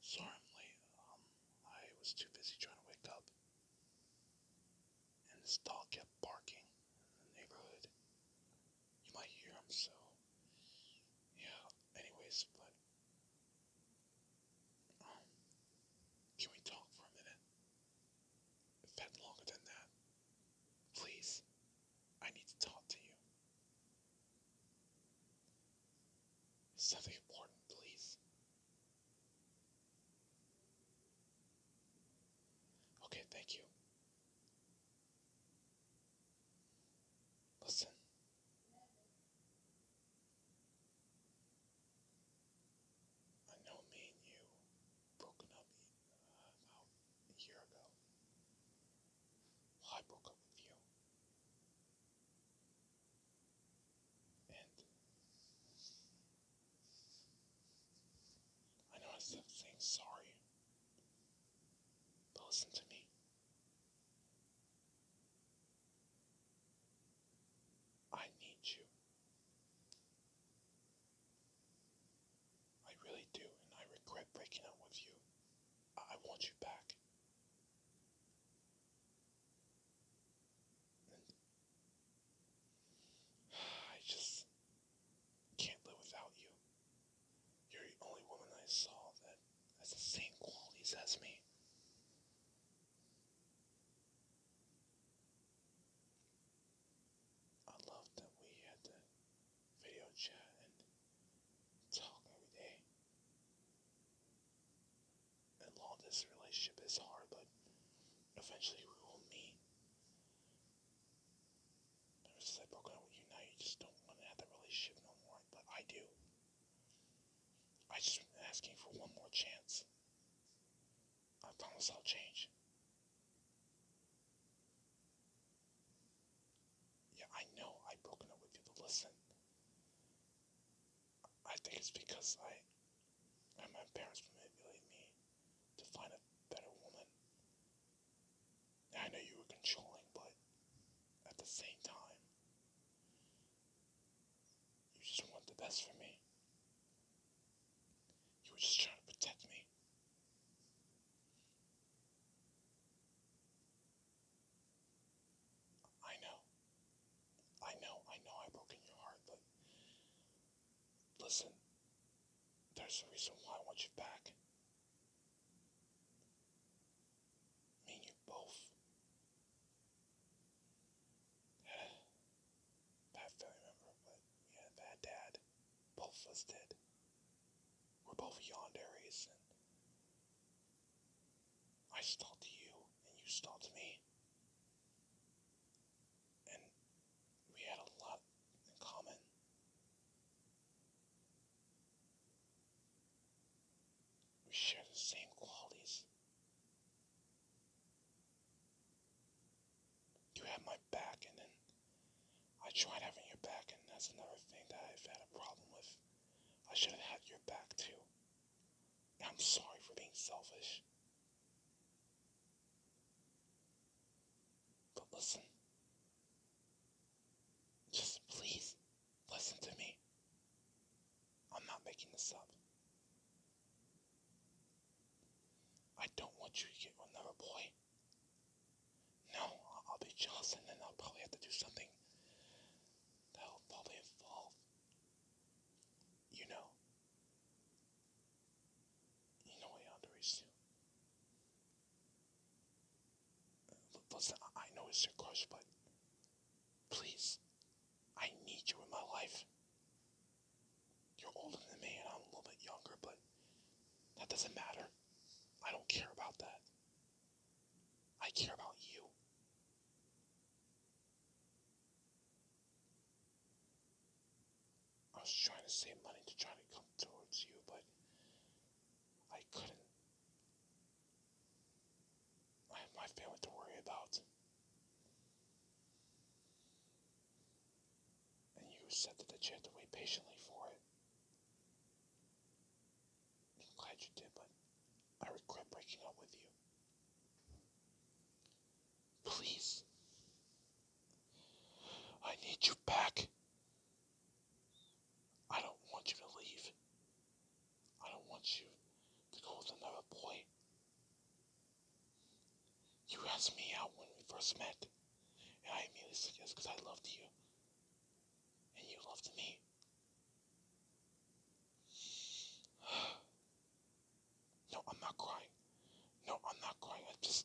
sorry um, i was too busy trying to wake up. And this dog kept barking in the neighborhood. You might hear him, so. Yeah, anyways, but. Um, can we talk for a minute? It's longer than that. Please, I need to talk to you. Something important, please. Okay, thank you. Listen. I know me and you broken up uh, about a year ago. I broke up with you. And I know I said saying sorry, but listen to me. I need you. I really do, and I regret breaking up with you. I, want you back. I just can't live without you. You're the only woman I saw that has the same qualities as me. I love that we had the video chat and talk every day. And long this relationship is hard, but eventually we will meet. Ever since I broke up with you, now you just don't want to have that relationship no more, but I do. I just asking for one more chance. I promise i change. Yeah, I know I've up with you to listen. I think it's because I and my parents manipulated me to find a better woman. I know you were controlling, but at the same time, you just want the best for me. You were just trying to protect me. I know. I know, I know I broke in your heart, but listen, there's a reason why I want you back. Me and you both. I don't remember, but yeah, that dad. Both of us did. We're both yawned and I stalked you, and you stalked me. And we had a lot in common. We share the same qualities. You have my back, and then I tried having your back, and that's another thing that I've had a problem with. I should have had your back too. I'm sorry for being selfish. But listen. Just please listen to me. I'm not making this up. I don't want you to get another boy. No, I'll be jealous and then I'll probably have to do something that'll probably involve, you know, you know what Yandere do. Listen, I know it's your crush, but please, I need you in my life. You're older than me, and I'm a little bit younger, but that doesn't matter. I don't care about that. I care about you. I was trying to save money to try to come towards you, but I couldn't. I have my family to worry about and you said that you had to wait patiently for it. I'm glad you did, but I regret breaking up with you. Please. I need you back. I don't want you to leave. I don't want you to go with another boy. You asked me out when we first met, and I immediately said yes because I loved you, and you loved me. No, I'm not crying. No, I'm not crying. I just.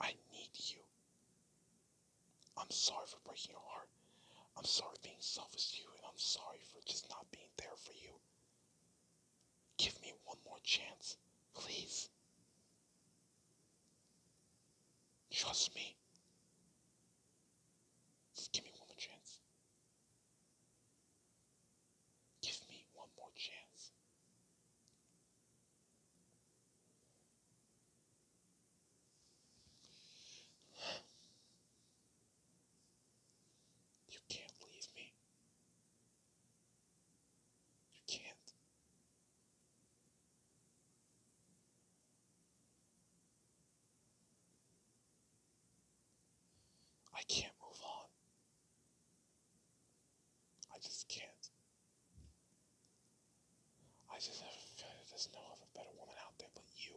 I need you. I'm sorry for breaking your heart. I'm sorry for being selfish to you, and I'm sorry for just not being there for you. Give me one more chance, please. Trust me. Just give me one more chance. Give me one more chance. You can't leave me. You can't. I can't move on. I just can't. I just have a feeling there's no other better woman out there but you.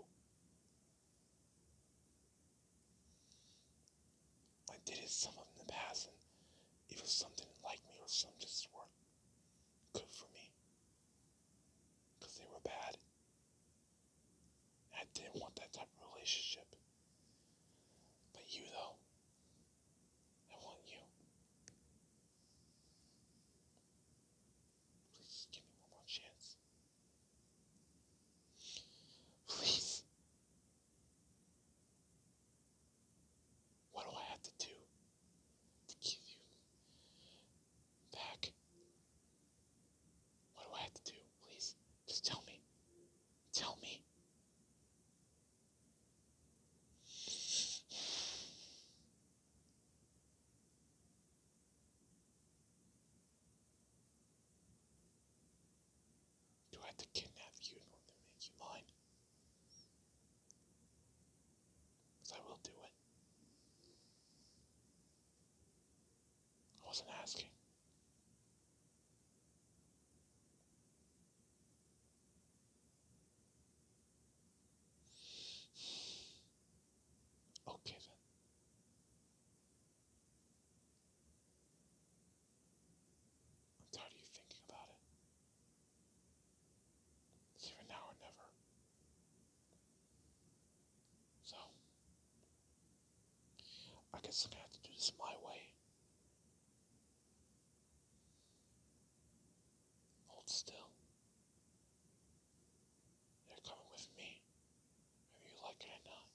I did it some of in the past, and it was something like me, or some just weren't good for me, they were bad. I didn't want that type of relationship. But you, though, I want you. Please give me one more chance. Please what do I have to do to give you back? What do I have to do? Please, just tell me. Tell me. Do I have to kidnap you in order to make you mine? Because I will do it. I wasn't asking. Okay then. I'm tired of you thinking about it. Here now or never. So, I guess I'm gonna have to do this my way. Hold still. They're coming with me, whether you like it or not.